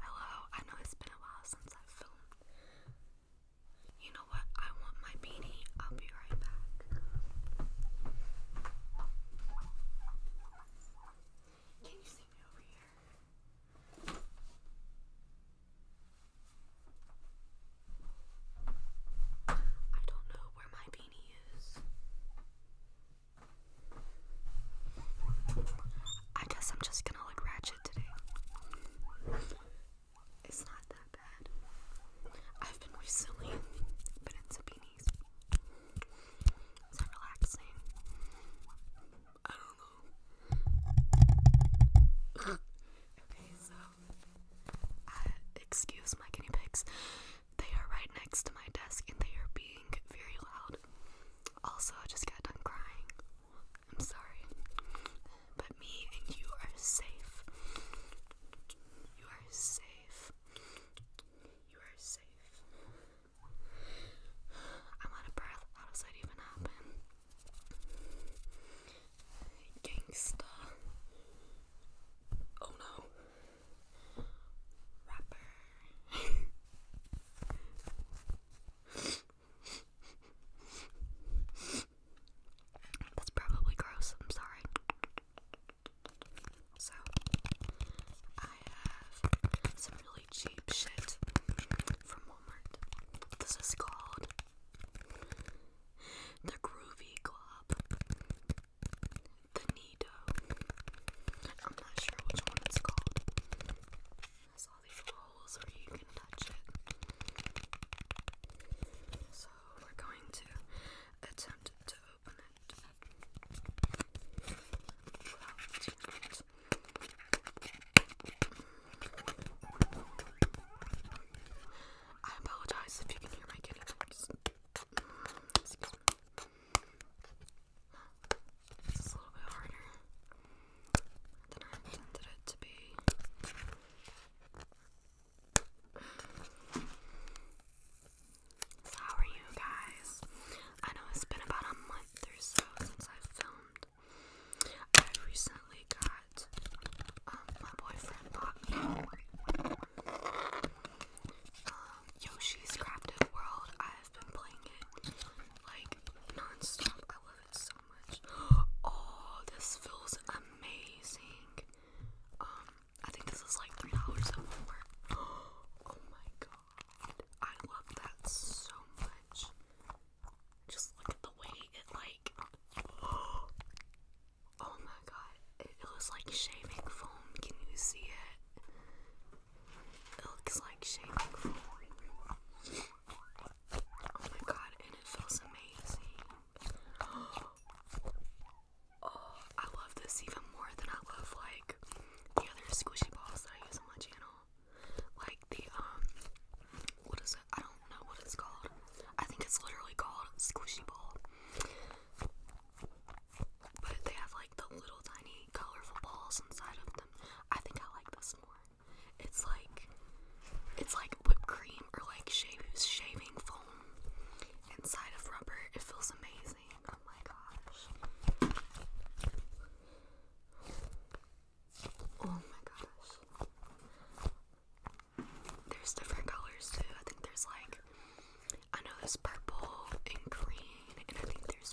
Hello, I know it's been a while since i filmed. You know what? I want my beanie. I'll be right back. Can you see me over here? I don't know where my beanie is. I guess I'm just gonna look ratchet today. It's not that bad. I've been recently been in Sabini's. Is that relaxing? I don't know. okay, so uh, excuse my guinea pigs. They are right next to my desk and they are being very loud. Also, I just got done crying. I'm sorry. But me and you are safe. You are safe. You are safe. I'm out of breath. How does that even happen? Gangsta. Oh no. Rapper. That's probably gross, I'm sorry. So, I have some really cheap shit from Walmart. This is called the Groovy Glob, the Nido. I'm not sure which one it's called. There's all these holes where you can touch it. So we're going to attempt to open it I apologize if you can hear my kitty Excuse I how are you guys? I know it's been about a month or so since I've filmed. I recently got um, my boyfriend bought me um, Yoshi's Crafted World been playing it like non I love it so much. Oh, this feels amazing. Um, I think this is like three dollars at Walmart. Oh my god, I love that so much. Just look at the way it like. Oh my god, it, it like shaving foam. Can you see it? It looks like shaving foam. Oh my god, and it feels amazing. Oh, I love this even more than I love like the other squishy balls that I use on my channel. Like the um what is it? I don't know what it's called. I think it's literally called squishy ball. But they have like the little tiny colorful balls inside of them. I think I like this more. It's like it's like whipped cream or like shave, shaving foam inside of rubber. It feels amazing. Oh my gosh. Oh my gosh. There's different colors too. I think there's like I know there's purple and green and I think there's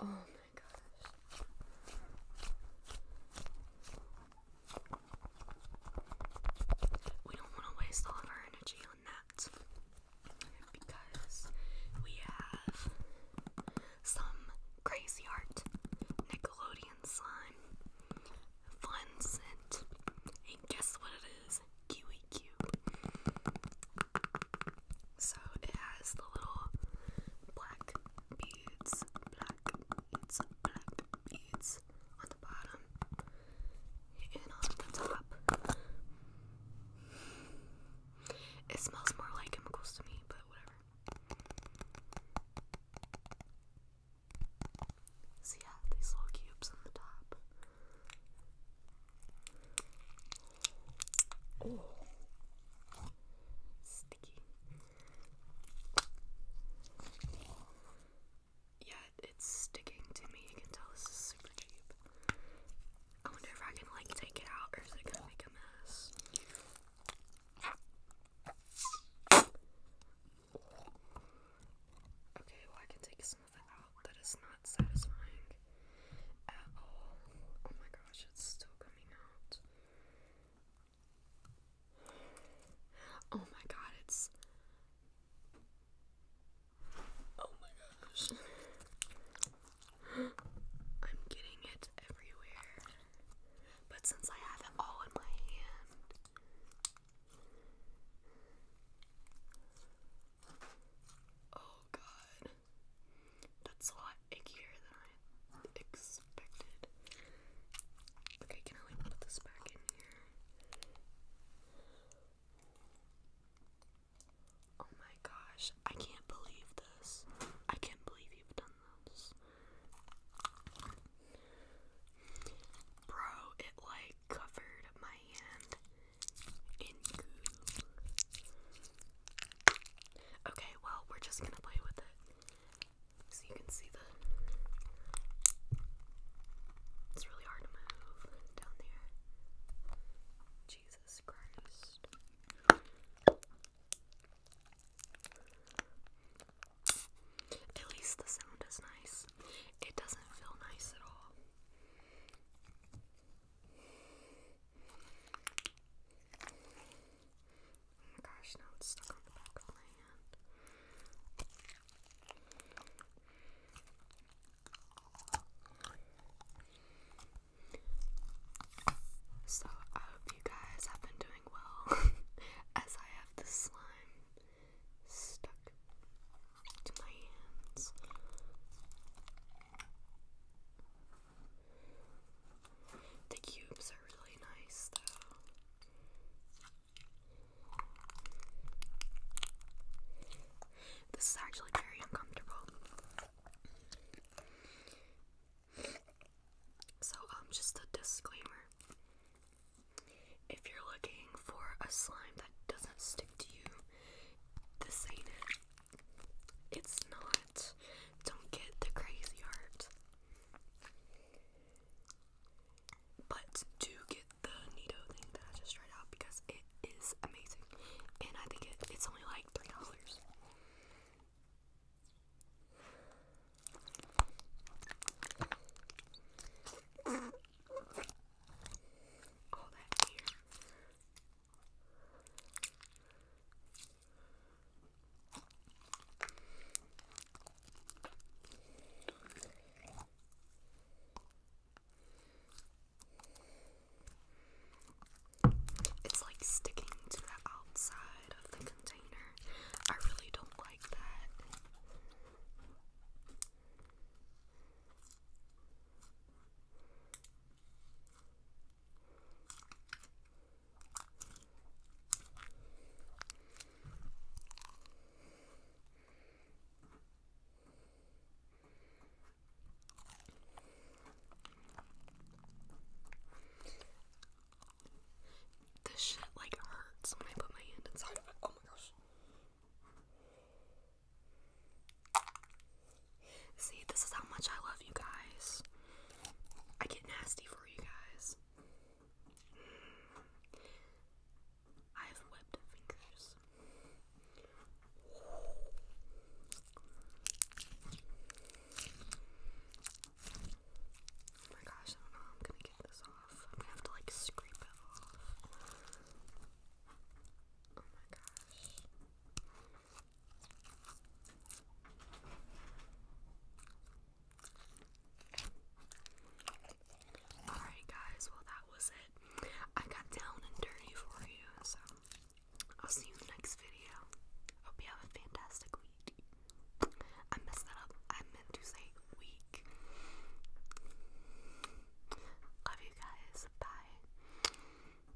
Oh my gosh. We don't want to waste all of our energy on that because we have some crazy art, Nickelodeon slime, fun and guess what it is? Kiwi so it has the little black beads, black beads, black beads on the bottom and on the top. It smells more like chemicals to me, but whatever. So yeah, these little cubes on the top. Oh, sticky. Yeah, it's sticking to me. You can tell this is super cheap. I wonder if I can like take it out or is it gonna make a mess? Okay, well I can take some out. That is not satisfying at all. Oh my gosh, it's still coming out. Oh my god, it's. Oh my gosh. I'm getting it everywhere. But since I have it all in my hand. Oh god. That's a lot ickier than I expected. Okay, can I like put this back in here? Oh my gosh, I can't believe this. I can't believe you've done this. Bro, it like covered my hand. Okay, well, we're just gonna play with it. So you can see the. It's really hard to move down there. Jesus Christ. At least the sound is nice. It doesn't feel nice at all. Oh my gosh, now it's stuck on the back of my hand. So, I hope you guys have been doing well as I have the slime stuck to my hands. The cubes are really nice though. This is actually very uncomfortable. So, um, just a disclaimer. If you're looking for a slime that doesn't stick to you, this ain't it's not. Don't get the crazy art. But do get the Neato thing that I just tried out because it is amazing. And I think it's only like $3. All that here. It's like sticking to the outside of the container. I really don't like that. This shit like hurts when I put my hand inside of it. Oh my gosh. See, this is how much I love you guys. I get nasty for you guys. I have webbed fingers. Oh my gosh, I don't know how I'm gonna get this off. I'm gonna have to like scrape it off. Oh my gosh. Alright, guys, well, that was it. I got down and dirty for you, so I'll see you in the next video. Hope you have a fantastic week. I messed that up. I meant to say week. Love you guys. Bye.